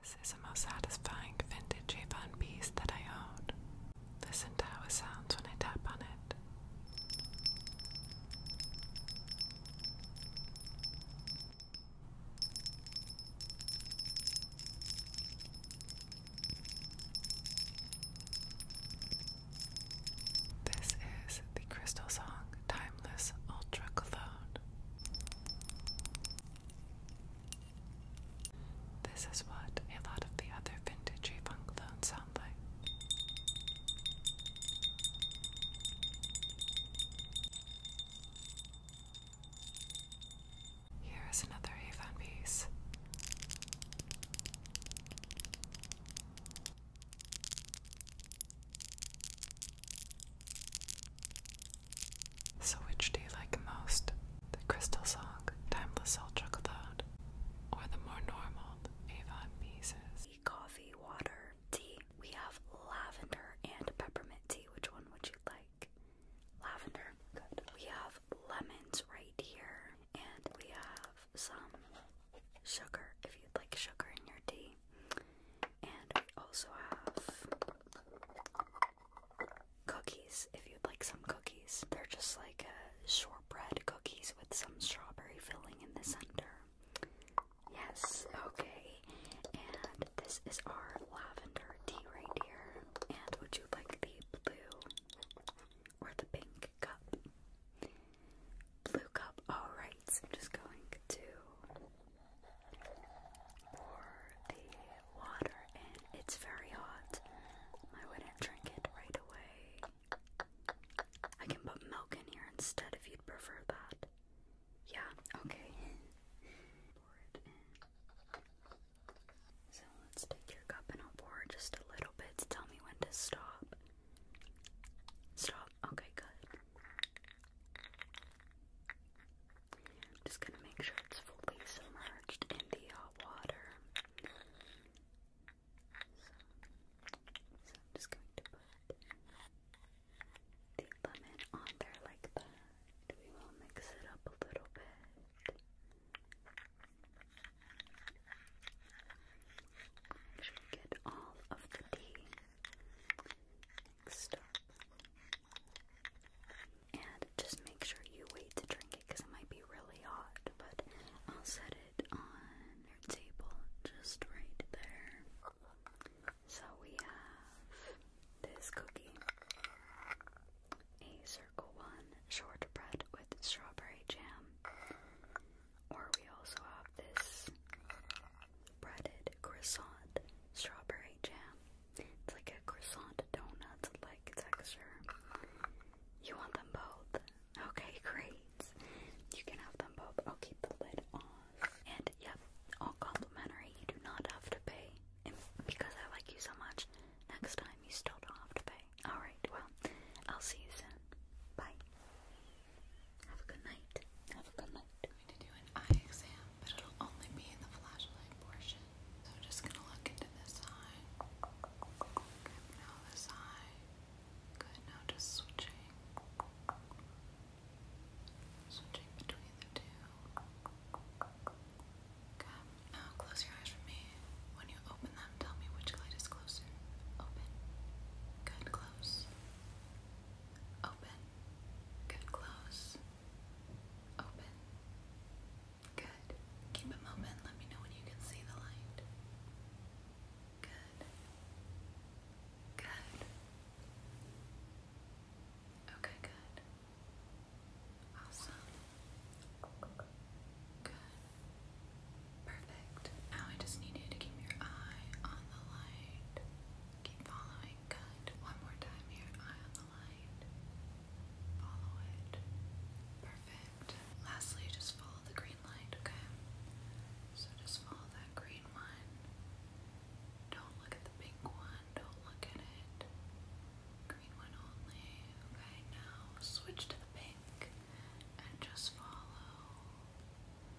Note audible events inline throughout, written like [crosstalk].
This is the most satisfying vintage Avon piece that I own. Listen to how it sounds when I tap on it. This is the Crystal Song Timeless Ultra Glow this is what a lot of the other vintage funk clones sound like. Here is another Avon piece. So, which do you like most? The Crystal Song, Timeless Ultra Cloud, or the more normal Avon Pieces? Coffee, water, tea. We have lavender and peppermint tea. Which one would you like? Lavender. Good. We have lemons right here, and we have some sugar if you'd like sugar in your tea. And we also have cookies if you'd like some cookies. They're just like uh, shortbread cookies with some strawberry filling in the center. Yes, okay. And this is our lavender tea right here. And would you like the blue or the pink cup? Blue cup, alright. I'm just going to pour the water in. It's very hot. I wouldn't drink it right away. I can put milk in here instead if you'd prefer that. Yeah, okay. So let's take your cup and I'll pour just a little bit tell me when to stop. Stop. Okay, good. I'm just gonna make sure it's fully submerged in the hot uh, water. So, I'm just going to put the lemon on there like that. We will mix it up a little bit. Make sure you get all of the tea and just make sure you wait to drink it because it might be really hot, but I'll set it on your table just right there. So we have this cookie. A circle one shortbread with strawberry jam. Or we also have this breaded croissant strawberry jam. It's like a croissant donut like texture. You want them both? Okay, great. You can have them both. I'll keep the lid on. And yep, all complimentary. You do not have to pay. because I like you so much, next time you still don't have to pay. Alright, well, I'll see you soon. Bye. Have a good night. Have a good night me to do an eye exam, but it'll only be in the flashlight portion. So I'm just gonna look into this eye. Good, now this eye. Good, now just switching. Switching between the two. Good, now close your eyes for me. When you open them, tell me which light is closer. Open. Good, close. Open. Good. Close. Open. Good. Keep it open. Let me know when you can see the light. Good. Good. Okay, good. Awesome. Good. Perfect. Now I just need you to keep your eye on the light. Keep following good. One more time here. Eye on the light. Follow it. Perfect. Lastly, just follow the green light, okay? So just follow that green one. Don't look at the pink one. Don't look at it. Green one only. Okay, now switch to the pink and just follow.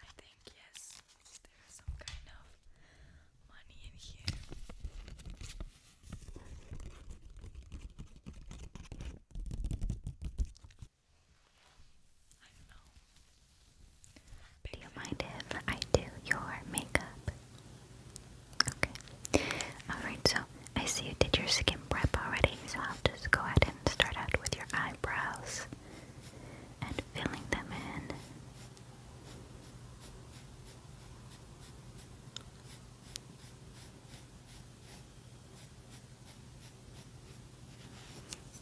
I think yes, there's some kind of money in here. I do know. Do you mind if I do your makeup? Okay. Alright, so I see you did your skin prep already, so I'll just go ahead and start out with your eyebrows and filling them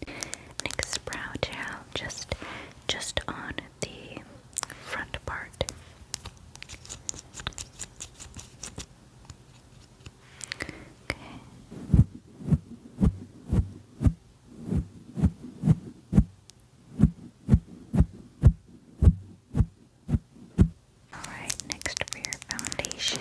in. Next brow gel, just just on the front part. Okay. Alright, next for your foundation.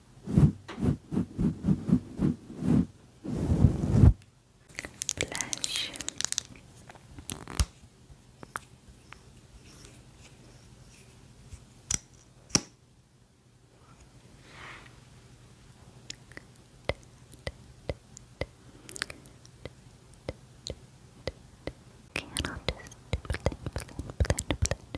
Blush. Okay, and I'll just blend, blend, blend, blend,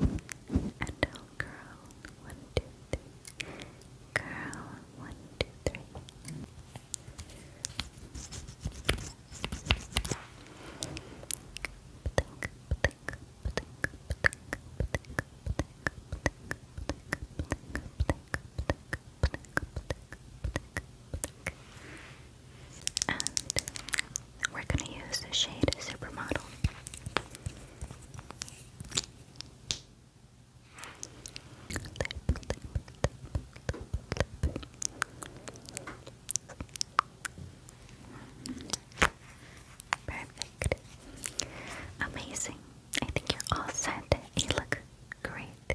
and I'll curl one, two, three. Curl one, two, three. Blink, blink, blink, blink, blink, blink, blink, blink, blink. And we're going to use the shade Supermodel. Perfect. Amazing. I think you're all set. You look great.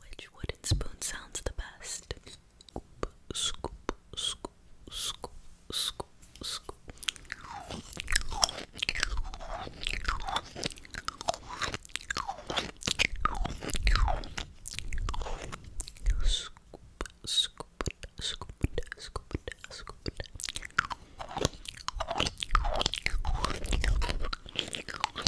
Which wooden spoon sounds the best? Scoop, scoop, scoop, scoop, scoop, scoop. Scoop, scoop, scoop, scoop, scoop.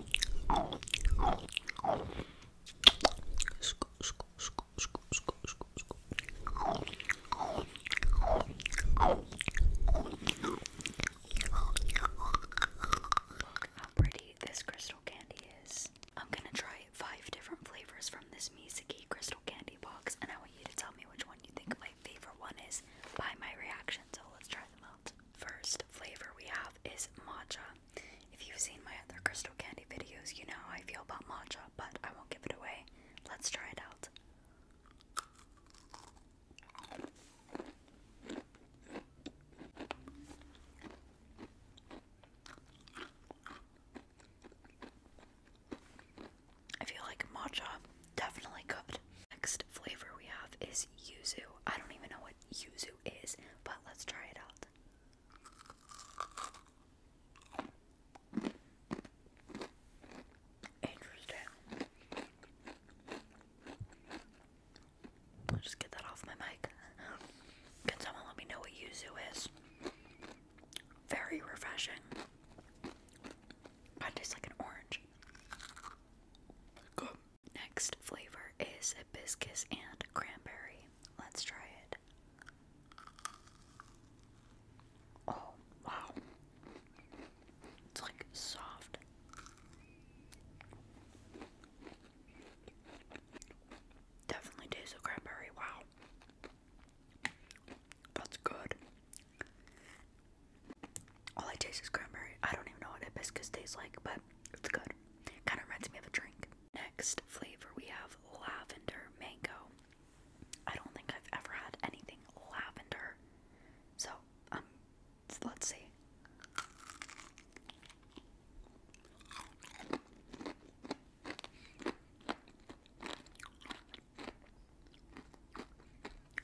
Look how pretty this crystal candy is. I'm gonna try five different flavors from this Mizuki crystal candy box, and I want you to tell me which one you think my favorite one is by my reaction. So let's try them out. First flavor we have is matcha. If you've seen my other crystal candy videos, you know how I feel about matcha, but I won't give it away. Let's try it out. I feel like matcha definitely good. Next flavor we have is yuzu. I don't even know what yuzu is, but let's try it out. Interesting. I'll just get that off my mic. Can someone let me know what yuzu is? Very refreshing. God, tastes like an orange. Good. Next flavor is hibiscus and cranberry. Let's try it. Oh, wow. It's like soft. Definitely tastes of cranberry. Wow. That's good. All I taste is cranberry. I don't even know what hibiscus tastes like, but it's good. Kind of reminds me of a drink. Next flavor, we have lavender mango. I don't think I've ever had anything lavender. So, um, let's see.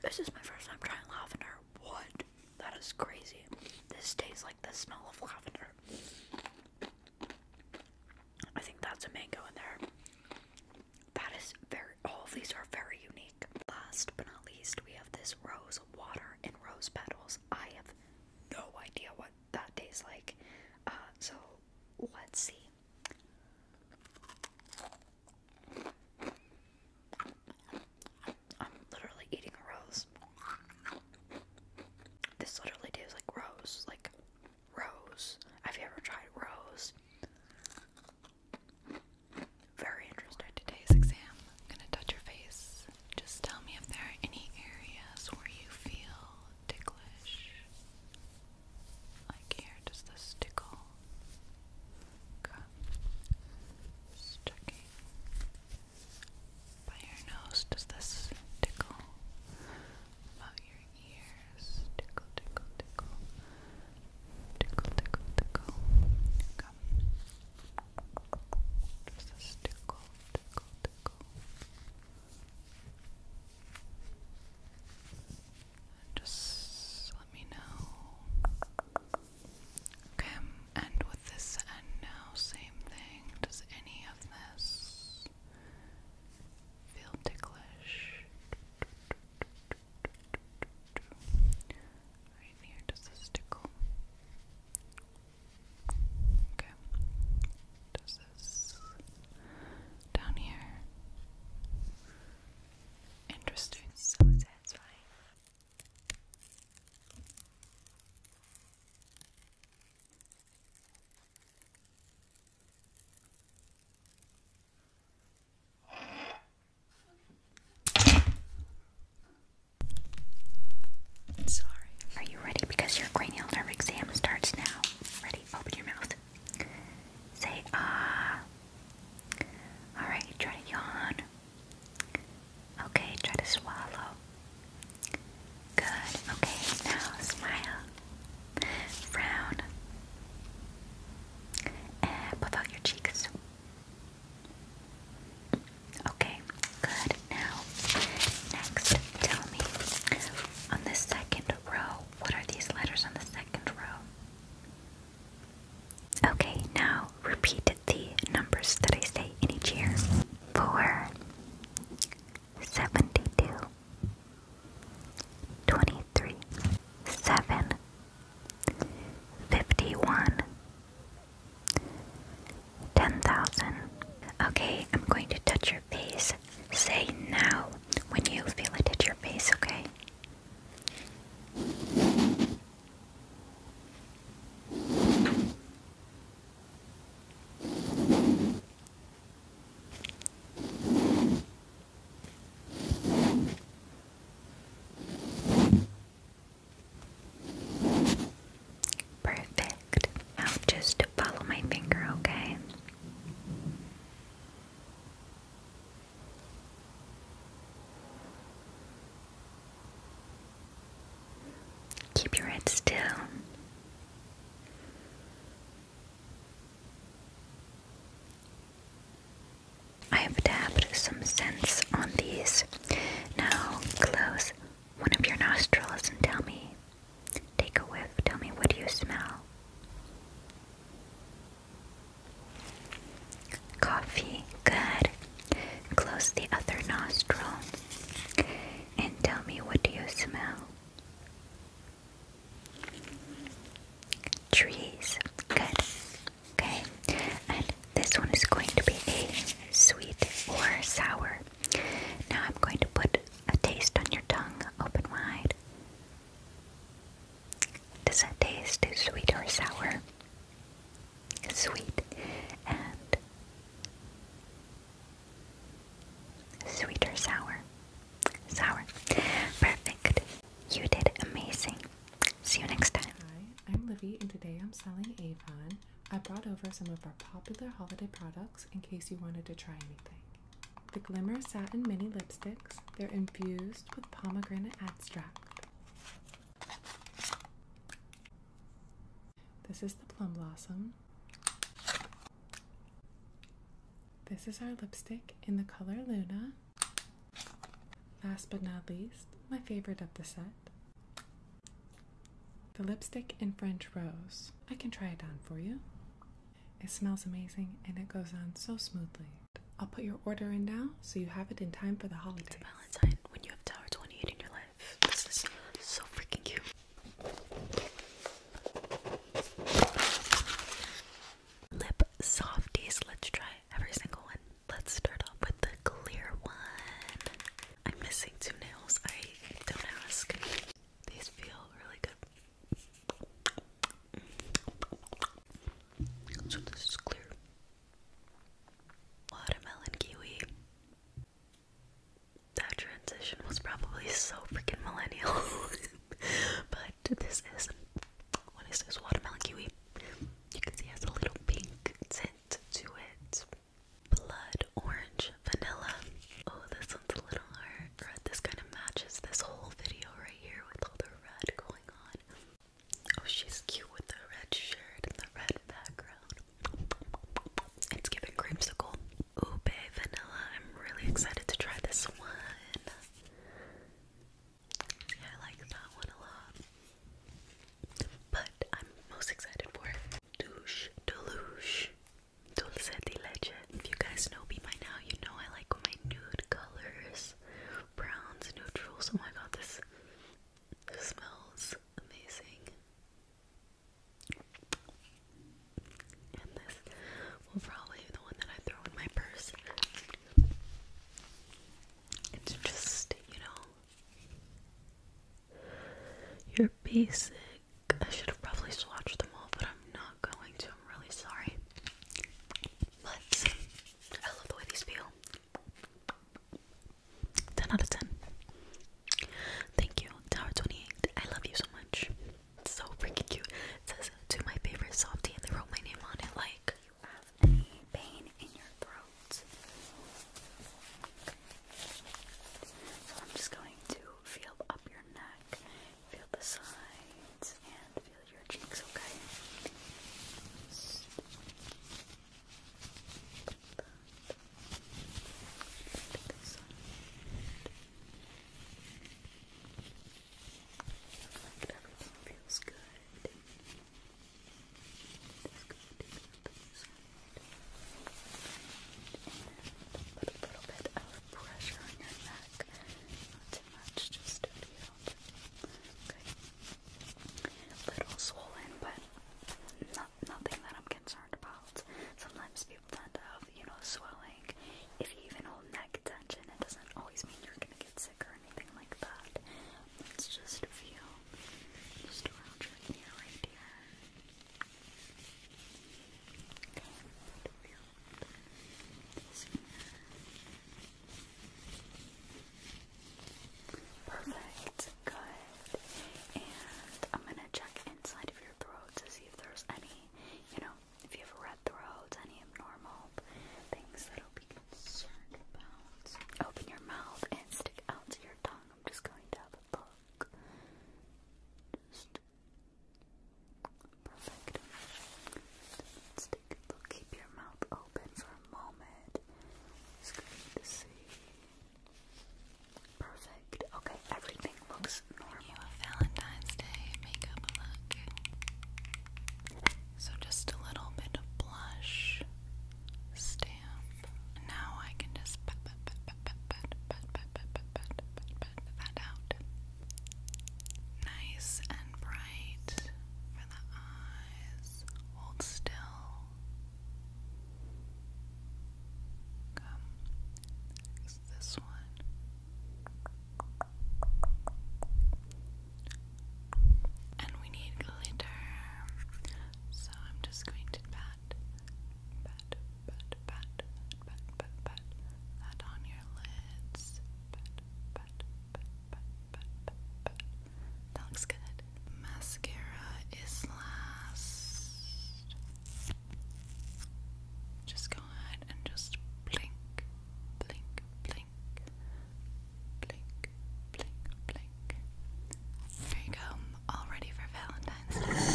This is my first time trying lavender. What? That is crazy. This tastes like the smell of lavender. I think that's a mango in there. That is very, all of these are very unique. Last but not least, we have this rose water and rose petals. I have no idea what that tastes like. Uh, so let's see. I'm literally eating a rose. This literally tastes like rose. Like rose. Have you ever tried rose? Very interesting. Today's exam. gonna touch your face. Just tell me if there are any areas where you feel ticklish. Like here, does this tickle? Okay. Just by your nose, does this tickle? About your ears, tickle, tickle, tickle, tickle, tickle, tickle. Come. Does this tickle, tickle, tickle? Just let me know Okay, and with this end now, same thing. Does any of this feel ticklish? Right here, does this tickle? Okay. Does this down here? Interesting. So satisfying. Sorry. Are you ready? Because your cranial nerve exam starts now. Ready? Open your mouth. Say ah. Alright, try to yawn. Okay, try to swallow. Good. Okay, now smile. Frown. And puff out your cheeks. Okay, good. Now, next, tell me on the second row, what are these letters on the second row? Okay, now repeat the numbers that I say in each year. 4, 72, 23, 7, 51, 10,000. Okay, I'm going to touch your face. Say now when you feel it at your face, okay? Perfect. Now just follow my finger, okay? Keep your head still. I have dabbed some scents on these. Now close one of your nostrils and tell me. Take a whiff. Tell me what do you smell? Coffee, good. Close the other nostril and tell me what do you smell? Trees, good. Okay, and this one is going to be a sweet or sour. Now I'm going to put a taste on your tongue, open wide. Does that taste sweet or sour? sweet and sweet sour? Sour. Perfect. You did amazing. See you next time. Hi, I'm Livy and today I'm selling Avon. I brought over some of our popular holiday products in case you wanted to try anything. The Glimmer Satin Mini Lipsticks, they're infused with pomegranate extract. This is the plum blossom. This is our lipstick in the color Luna. Last but not least, my favorite of the set. The lipstick in French Rose. I can try it on for you. It smells amazing and it goes on so smoothly. I'll put your order in now so you have it in time for the holiday. Valentine when you have Tower 28 in your life. This is so freaking cute. Lip softies. Let's try every single one. Let's start off with the clear one. I'm missing two nails. I don't ask. These feel really good. So this is clear. Watermelon kiwi. That transition was probably so freaking millennial. [laughs] but this is what is this? Watermelon kiwi. You can see has a little pink tint to it. Blood orange vanilla. Oh, this one's a little hard. This kind of matches this whole video right here with all the red going on. Oh, she's cute with the red shirt and the red background. It's giving creamsicle. Ube vanilla. I'm really excited to try this one. I like that one a lot. But I'm most excited for it. Douche, deluge, dulce de leche. If you guys know me by now, you know I like my nude colors, browns, neutrals. Oh my god, this it smells amazing. And this will probably be the one that I throw in my purse. It's just, you know, your basic. I should have probably swatched them all, but I'm not going to. I'm really sorry. But I love the way these feel. 10 out of 10. Thank you, Tower28. I love you so much. so freaking cute. says, to my favorite softie, and they wrote my name on it. Like, So I'm just going to feel up your neck, feel the sides, and feel your cheeks, okay? everything feels good. put a little bit of pressure on your neck. Not too much, just a little Little swollen, but not nothing that I'm concerned about. Sometimes people tend to have, you know, swelling. If you even hold neck tension, it doesn't always mean you're gonna get sick or anything like that. It's just a few just around your ear right here. Okay, Perfect, good. And I'm gonna check inside of your throat to see if there's any, you know, if you have a red throat, any abnormal things that'll be concerned about. Open your mouth and stick out your tongue. I'm just going to have a look. Just perfect take a Keep your mouth open for a moment. It's good to see. Perfect. Okay, everything looks normal. Valentine's Day makeup look. So just a little bit of blush. Stamp. Now I can just pat pat pat pat pat pat pat pat pat pat pat pat that out. Nice and bright the eyes. Hold still. Come. Next, this one. And we need glitter. So I'm just going to pat, pat, pat, pat, pat, pat, pat, pat on your lids. Pat, pat, pat, but, That looks good. Mascara is last. Just go ahead and just blink, blink, blink, blink, blink, blink. There you go, all ready for Valentine's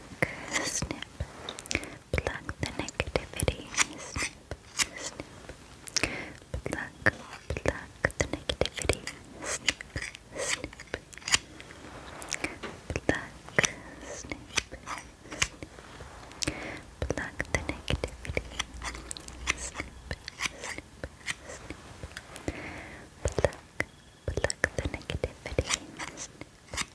pluck, snip, pluck the negativity, snip, snip, pluck, pluck the negativity, snip, snip, pluck, snip, snip, pluck the negativity, snip, snip, snip, pluck pluck the negativity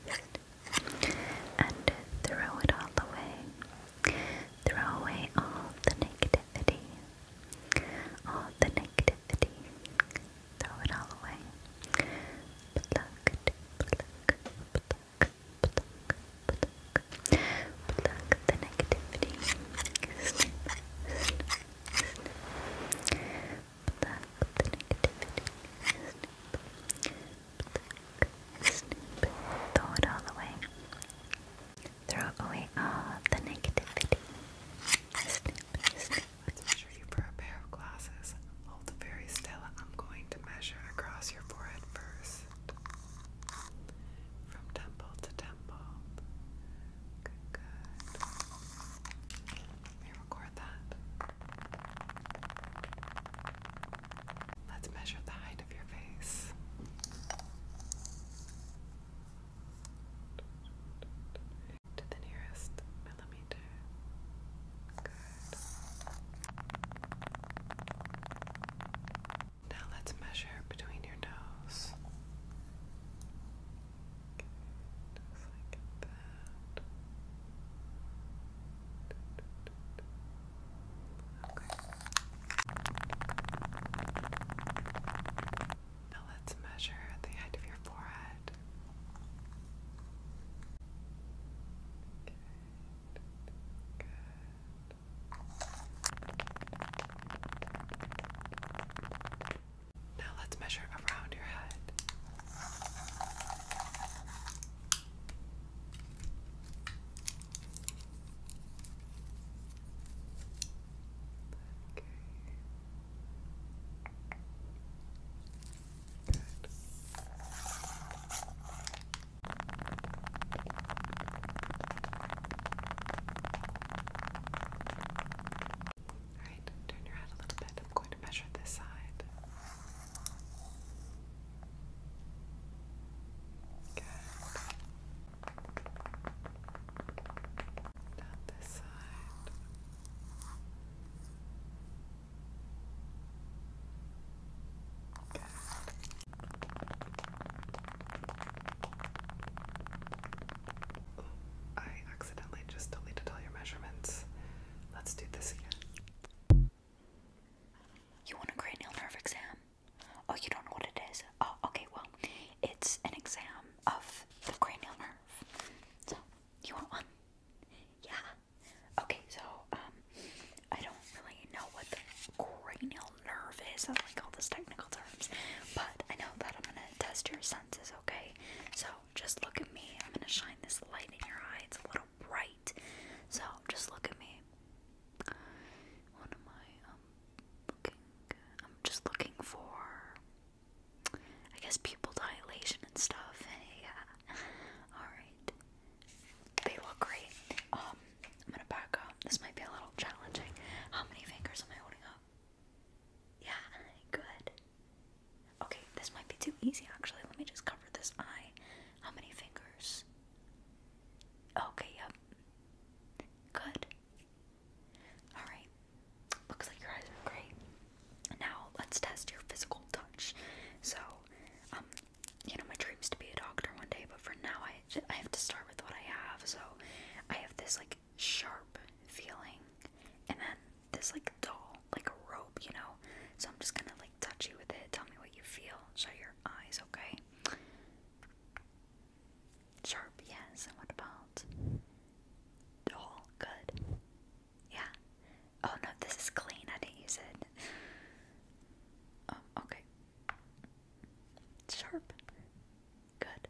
and throw it all away. Throw away all the negativity. All the negativity. Throw it all away. Pluck, pluck, pluck, pluck, pluck. Pluck the negativity. Snip, snip, snip. Throw it all away. Throw away all the negativity. Snip. Snip. Measure you for a pair of glasses. Hold very still. I'm going to measure across your forehead first. From temple to temple. Good, good. Let's measure the height of your face. To the nearest millimeter. Good. Now let's measure between your nose Okay. Now let's measure the height of your forehead. Good. Good. Now let's measure around your head. Okay. Good. Alright, turn your head a little bit. I'm going to measure this side. Good. Down this side. Good. I accidentally just deleted all your measurements. Let's do this again. You want a cranial nerve exam? Oh, you don't know what it is? Oh, okay, well, it's an exam of the cranial nerve. So, you want one? Yeah. Okay, so, um, I don't really know what the cranial nerve is. I like all those technical terms. But I know that I'm gonna test your senses, okay? So, just look at me. I'm gonna shine this light in your eyes. It's a little bright. So just look at me. What am I um, looking? I'm just looking for I guess pupil dilation and stuff. [laughs] yeah. Alright. They look great. Um, I'm gonna back up. This might be a little challenging. How many fingers am I holding up? Yeah, [laughs] good. Okay, this might be too easy actually. Let me just cover this eye. How many fingers? Okay, yep. Good. Alright. Looks like your eyes are great. Now let's test your physical touch. So, um, you know, my dream's to be a doctor one day, but for now I, I have to start with what I have. So, I have this like sharp feeling. And then this like doll, like a rope, you know. So I'm just gonna like touch you with it. Tell me what you feel. Shut your eyes, okay? Sharp, yes. And what about doll? Good. Yeah. Oh no, this is clean. I didn't use it. Um, okay. Sharp. Good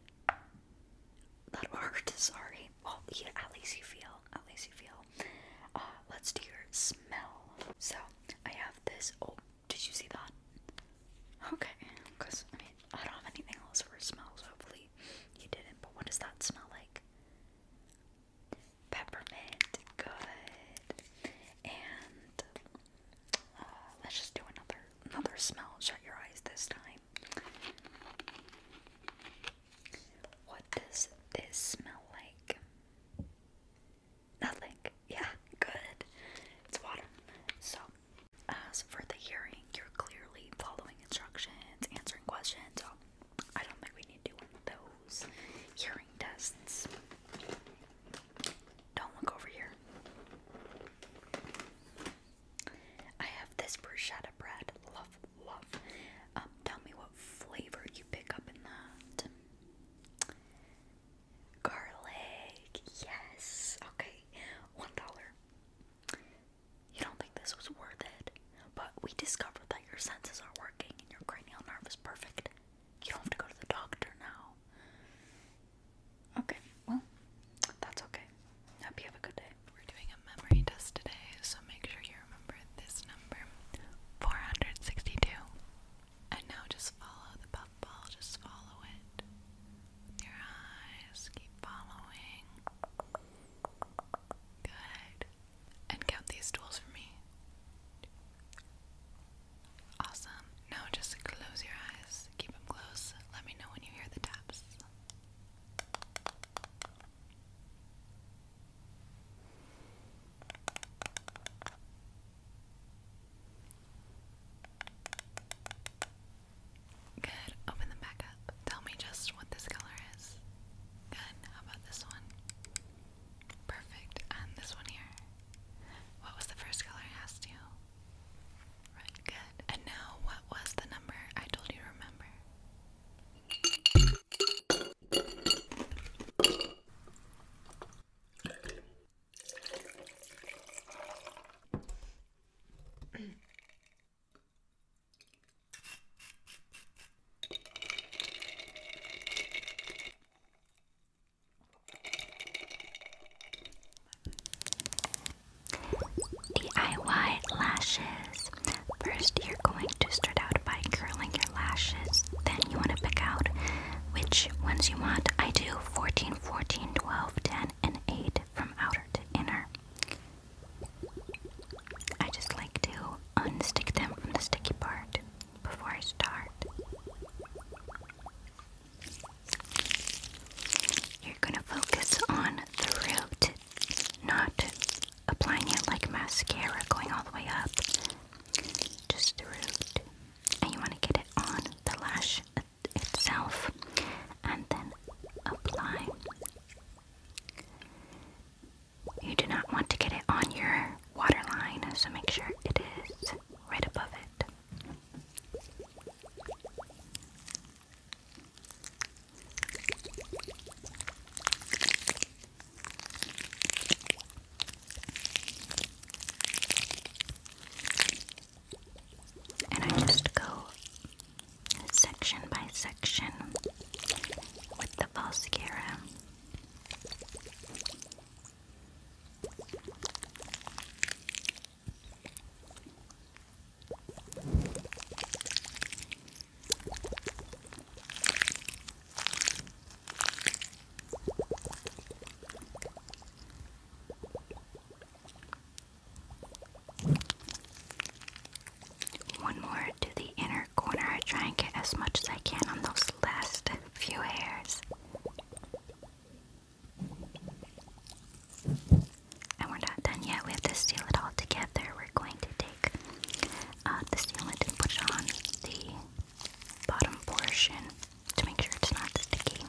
that hard. Sorry. Well, yeah, at least you feel. At least you feel. Uh, let's do your smell. So I have this. Oh, did you see that? Okay, because I mean I don't have anything else for smells. Hopefully you didn't. But what does that smell like? Peppermint. Good. And uh, let's just do another another smell. Shut your eyes this time. What does this smell like? Nothing. Yeah, good. It's water. So, as for the hearing, you're clearly following instructions, answering questions. So, I don't think we need to do those hearing tests. Don't look over here. I have this bruschetta bread. Love, love. Um, tell me what flavor you pick up in that. Garlic. Yes. Okay. One dollar. You don't think this was worth it, but we discovered that your senses are working and your cranial nerve is perfect. You don't have to go to the doctor now. Okay, well, that's okay. Hope you have a good day. We're doing a memory test today, so make sure you remember this number 462. And now just follow the puffball, just follow it your eyes. Keep following. Good. And count these tools for me. Awesome. Now just close your eyes. Keep them close. Let me know when you hear the taps. Good. Open them back up. Tell me just what this color is. Good. How about this one? Perfect. And this one here. What was the first color I asked you? Right, good. And now, what was the number I told you to remember? DIY lashes. First, you're going to start out by curling your lashes. Then, you want to pick out which ones you want. I do 14, 14, 12, 10, and 8 from outer to inner. I just like to unstick them from the sticky part before I start. You're going to focus on the root not applying it like mascara going all the way up, just through, And you want to get it on the lash itself and then apply. You do not want to get it on your waterline, so make sure it is right above it. And I just go section by section with the Valscara. One more to the inner corner. I try and get as much as I can on those last few hairs. And we're not done yet. We have to seal it all together. We're going to take uh, the sealant and put it on the bottom portion to make sure it's not sticky.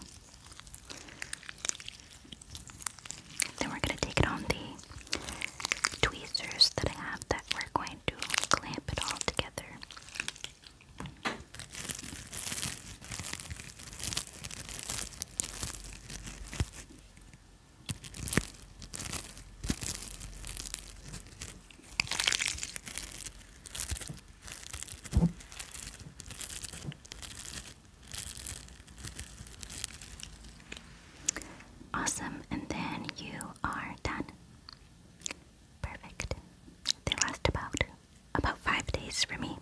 Then we're going to take it on the tweezers that I have that we're going to clamp it all together. Awesome, and then you are done. Perfect. They last about about five days for me.